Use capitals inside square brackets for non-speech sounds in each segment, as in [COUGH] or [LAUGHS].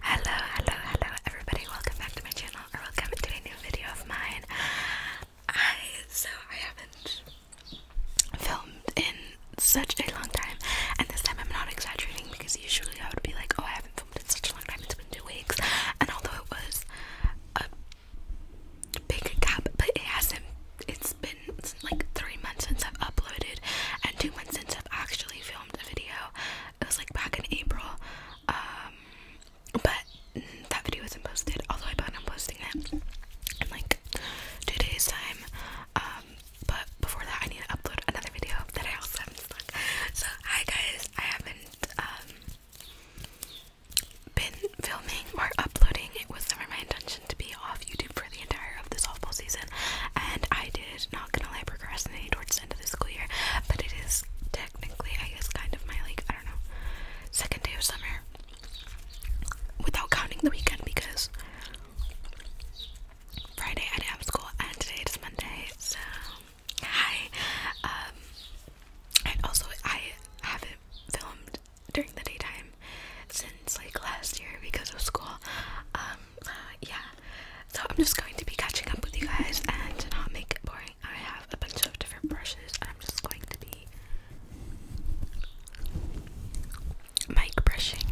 Hello, hello, hello, everybody! Welcome back to my channel, or welcome to a new video of mine. I so I haven't filmed in such a long time, and this time I'm not exaggerating because usually I would be like, oh, I haven't filmed in such a long time. It's been two weeks, and although it was a big gap, but it hasn't. It's been like three months since I've uploaded, and two months since I've actually filmed a video. It was like back in April. Um, but that video was not posted, although I plan on posting it in like two days time. Um, but before that I need to upload another video that I also haven't stuck. So hi guys, I haven't um, been filming or uploading. It was never my intention to be off YouTube for the entire of the softball season, and I did not gonna lie procrastinate towards the end of the school year, but it is technically I guess kind of my like I don't know second day of summer without counting the weekend because Friday I have school and today is Monday, so hi. Um, and also I haven't filmed during the daytime since like last year because of school. Um, yeah, so I'm just going to be catching up with you guys and to not make it boring. I have a bunch of different brushes and I'm just going to be mic brushing.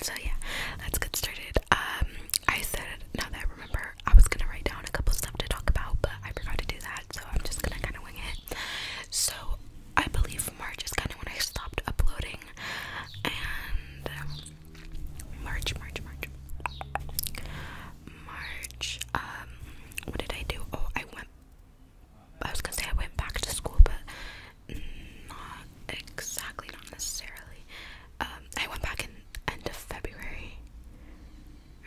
So yeah, let's get started. Um I said now that I remember I was gonna write down a couple stuff to talk about but I forgot to do that so I'm just gonna kinda wing it. So I believe March is kind of when I stopped uploading, and March, March, March, March. Um, what did I do? Oh, I went. I was gonna say I went back to school, but not exactly, not necessarily. Um, I went back in end of February.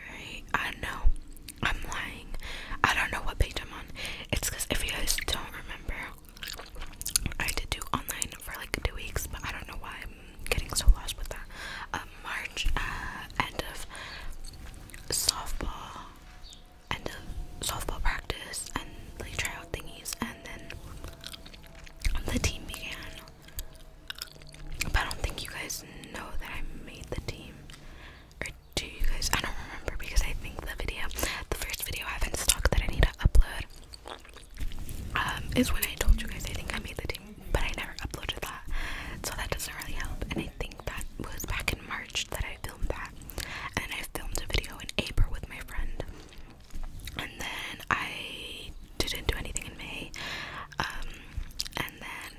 Right? I don't know. I'm lying. I don't know what page I'm on. It's because if you guys don't remember, I did do online for like two weeks, but I don't know why I'm getting so lost with that. Um, March, uh, end of softball, end of softball practice, and like tryout thingies, and then the team began. I don't think you guys know that I made the team do you guys I don't remember because I think the video the first video I have in stock that I need to upload um, is when I told you guys I think I made the team but I never uploaded that so that doesn't really help and I think that was back in March that I filmed that and I filmed a video in April with my friend and then I didn't do anything in May um, and then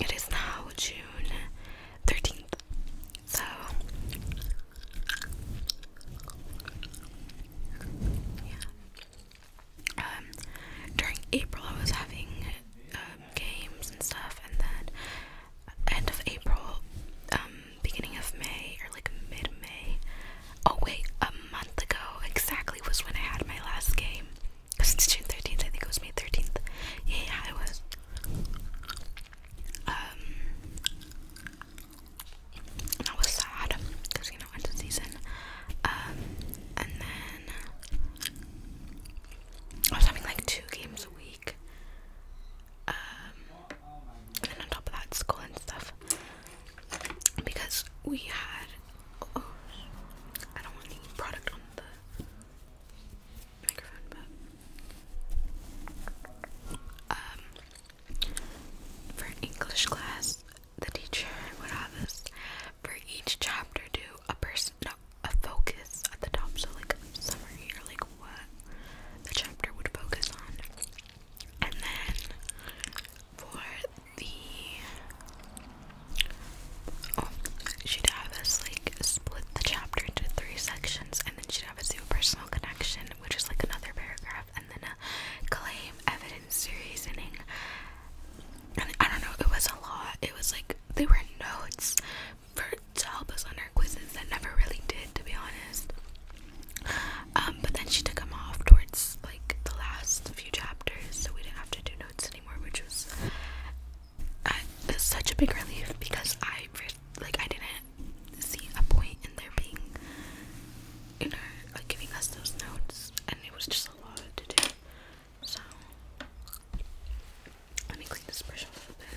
it is now June 13th. So yeah. Um during April I was having um, games and stuff and then end of April, um, beginning of May or like mid May. Oh wait, a month ago exactly was when I had my last game. Since June thirteenth, I think it was May thirteenth. Yeah, I was. Um, I was sad because you know end of season. Um, and then I was having like two games a week. Um, and then on top of that, school and stuff. Because we had, oh, um, for English class, the teacher would have us for each chapter do a person, no, a focus at the top, so like a summary like what the chapter would focus on, and then for the Oh, she'd have us like split the chapter into three sections, and then she'd have a do a personal connection, which is like another paragraph, and then a claim, evidence, reasoning. And I don't know, it was a lot. It was like they were notes for to help us on our quizzes that never really did, to be honest. Um, but then she took them off towards like the last few chapters, so we didn't have to do notes anymore, which was it's such a big relief because I like I didn't see a point in there being, you know, like giving us those notes, and it was just a lot to do. So let me clean this brush off a bit.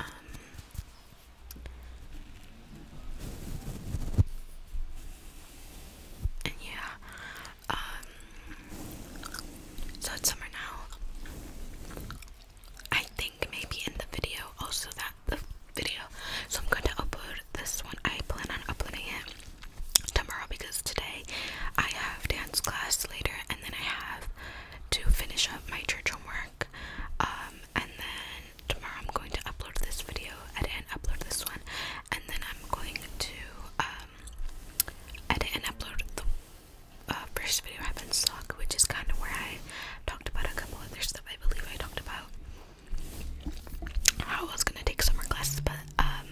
Um, and yeah, um, so it's summer now. I think maybe in the video, also that the video. So I'm going to upload this one. I plan on uploading it tomorrow because today I have dance class later, and then I have to finish up my church homework. Um, and then tomorrow I'm going to upload this video, and upload this one, and then I'm going to uh, I didn't upload the uh, first video I've been stuck, which is kind of where I talked about a couple other stuff. I believe I talked about how I was gonna take summer classes, but um,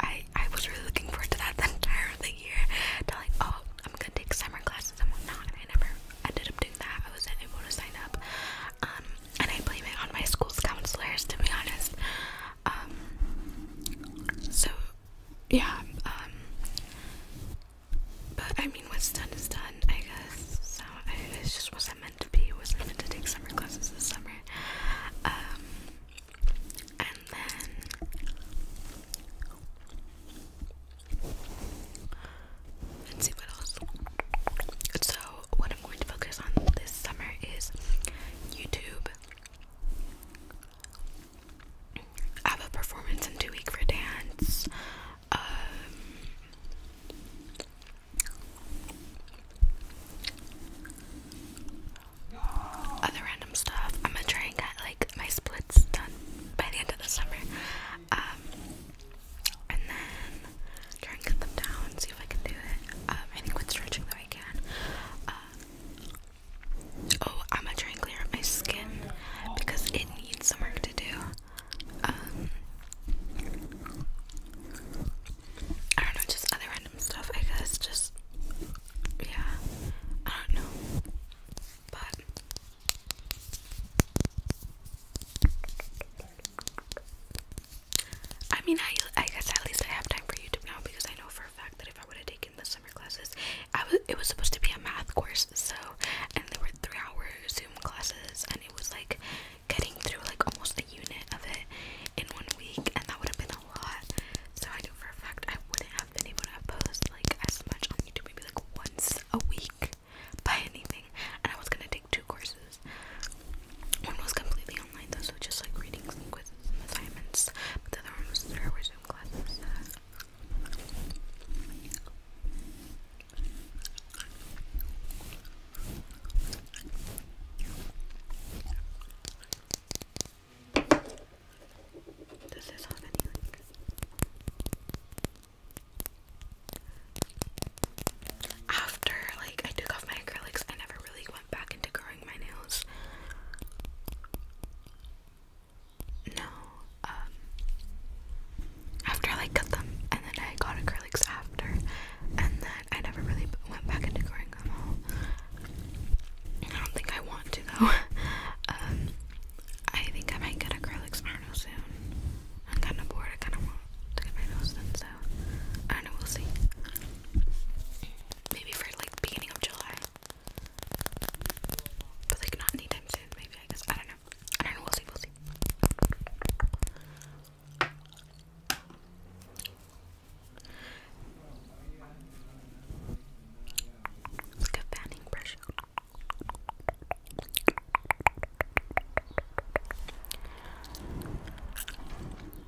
I I was really looking forward to that [LAUGHS] the entire year. To like, oh, I'm gonna take summer classes and whatnot, and I never ended up doing that. I wasn't to sign up, um, and I blame it on my school's counselors. To be honest, um, so yeah, um, but I mean, what's done is done, I guess. So I, just wasn't meant to be. wasn't meant to take summer classes this summer. Um, and then let's see what else. So what I'm going to focus on this summer is YouTube. I have a performance in two week for dance. Um, other random stuff. I'm gonna try and get like my splits done by the end of the summer. Um, and then try and get them down, see if I can do it. Um, I think with stretching though I can oh, I'm gonna try and clear up my skin because it needs some work to do. Um, I don't know, just other random stuff, I guess. Just, yeah, I don't know, but. I mean, I guess at least I have time for YouTube now because I know for a fact that if I would have taken the summer classes, it was supposed to be a math course, so and there were three hour Zoom classes, and it was like getting through like almost a unit of it in one week, and that would have been a lot. So I know for a fact I wouldn't have been able to post like as much on YouTube, maybe like once a week by anything, and I was gonna take two courses. One was completely online so just like readings and assignments. But the other one was there were Zoom classes. Does this have any like after like I took off my acrylics I never really went back into garage my nails. No, um, after I cut them, and then I got acrylics after, and then I never really went back into coloring them all. I don't think I want to though. [LAUGHS] Um, I think I might get acrylics, I don't soon. I'm kind of bored, I kind of want to get my nails done, so I don't know, we'll see maybe for like beginning of July. But like not anytime soon, maybe I guess. I don't know. I don't know, we'll see, we'll see. It's fanning brush.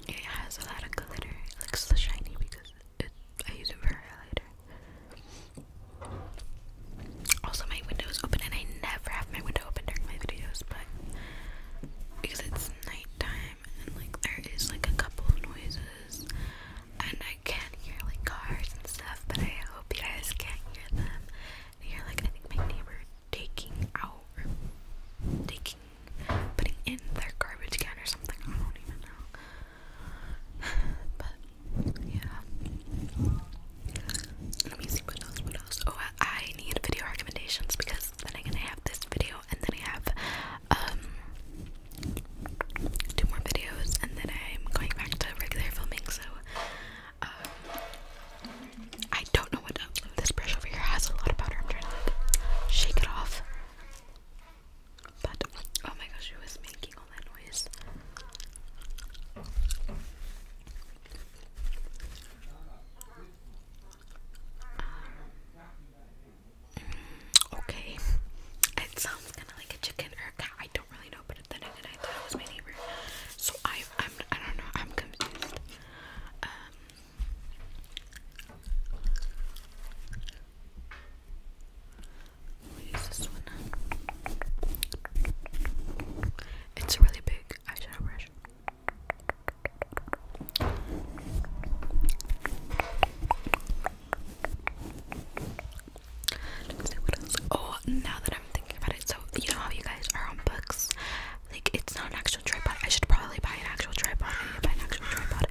It has a lot of glitter. It looks so shiny because it, I use it for highlighter. Also, my window is open, and I never have my window open during my videos, but because it's nighttime and like there is like a couple of noises, and I can't hear like cars and stuff, but I hope you guys can't hear them. And hear like I think my neighbor taking out, taking putting in their garbage can or something. I don't even know. [SIGHS] But yeah. Let me see what else. What else? Oh, I, need video recommendations because then I'm gonna have this video and then I have um two more videos and then I'm going back to regular filming. So um, I don't know what This brush over here has a lot of powder. I'm trying to like shake it off. But oh my gosh, who was making all that noise? Um, okay, it sounds kind of like a chicken I don't really know, but then again, I thought it was my neighbor. So I, I'm, I don't know. I'm confused. Um, we this one It's a really big eyeshadow brush. Let's see what else. Oh, now that I'm thinking about it, so you know how you guys are on books? Like, it's not an actual tripod. I should probably buy an actual tripod. buy an actual tripod.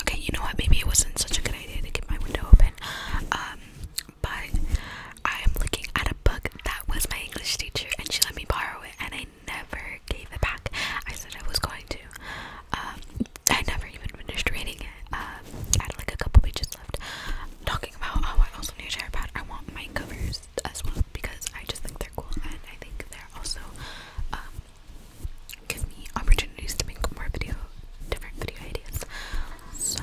Okay, you know what? Maybe it wasn't such a good idea to keep my window open. Um, but I am looking at a book that was my English teacher, and she let me borrow it, and I never gave it back. I said I was going to. Um, I never even finished reading it. Um, I had like a couple pages left. Talking about oh, I also need a chair pad. I want my covers as well because I just think they're cool and I think they're also um, give me opportunities to make more video, different video ideas. So.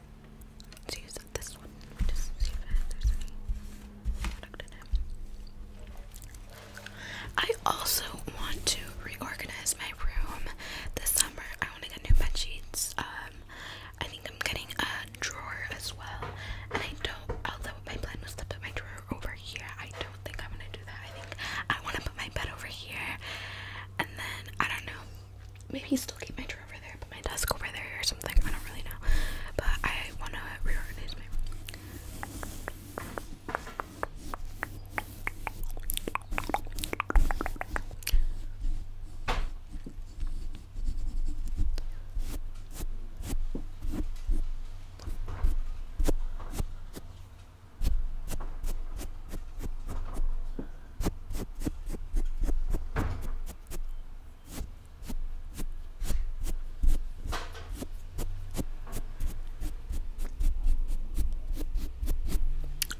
I also want to reorganize my room this summer. I want to get new bed sheets. Um, I think I'm getting a drawer as well. And I don't, although my plan was to put my drawer over here, I don't think I'm gonna do that. I think I want to put my bed over here. And then I don't know maybe still keep my drawer over there, but my desk over there or something. I don't really know. But I want to reorganize my room.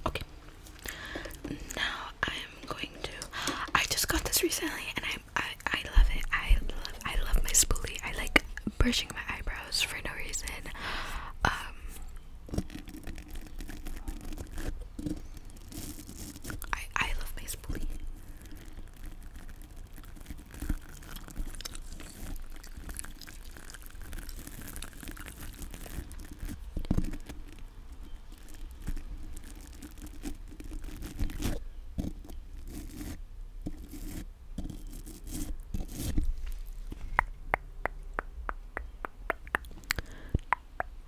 Okay. Now I am going to. I just got this recently, and I I love it. I love I love my spoolie. I like brushing my eyebrows for no reason. Um. I I love my bully.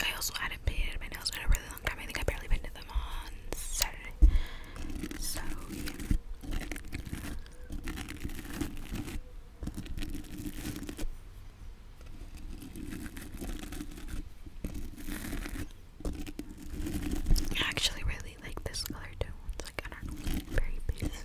I also hadn't painted my nails in a really long time. I think I barely painted them on Saturday. So yeah. I actually really like this color too. It's like I very basic.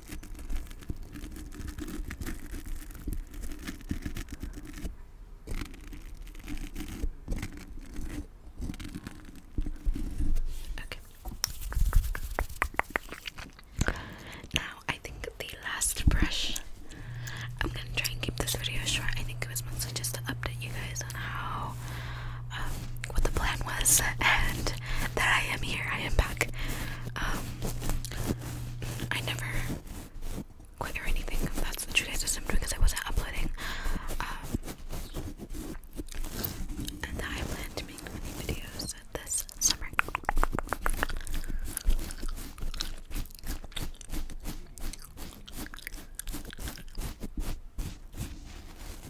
Okay. Now, I think the last brush. I'm gonna try and keep this video short. I think it was mostly just to update you guys on how um, what the plan was and that I am here. I am back. Um, I never quit or anything. That's the criticism because I wasn't uploading. Um, and I plan to make many videos this summer.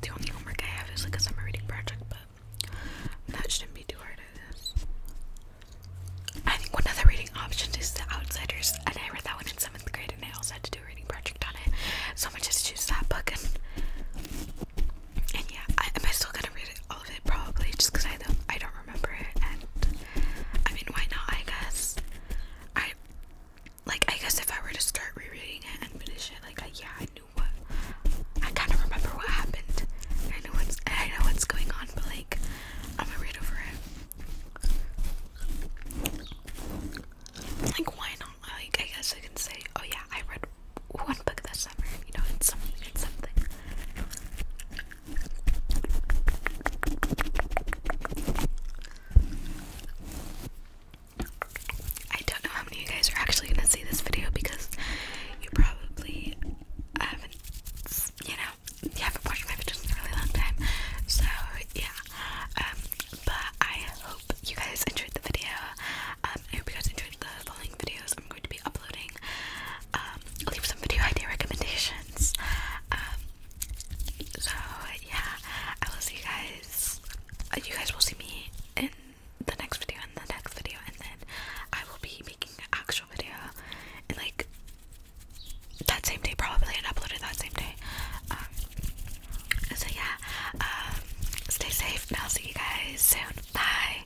The only homework I have is like a summer reading project, but that shouldn't be too hard, I think one of the reading options is The Outsiders, and I read that one in 7th grade, and I also had to do a reading project on it. So I'm gonna choose that book and yeah, I, am I still gonna read it, all of it? Probably, just because I don't, I don't remember it. And I mean, why not? I guess I like. I guess if I were to start rereading it and finish it, like, I, yeah, I knew what. I kind of remember what happened. I know what's. I know what's going on, but like, I'm gonna read over it. Like, why not? Like, I guess I can say, oh yeah, I read one book this I don't know how many you guys are actually gonna see this video because you probably haven't, you know, you haven't watched my videos in a really long time. So yeah, um, but I hope you guys enjoyed the video. Um, I hope you guys enjoyed the following videos. I'm going to be uploading. Um, leave some video idea recommendations. Um, so yeah, I will see you guys. Uh, you guys will see me in the next video, and the next video, and then I will be making an actual video in like that same day, probably, and upload that same day. Um, so yeah, stay safe, and I'll see you guys soon. Bye.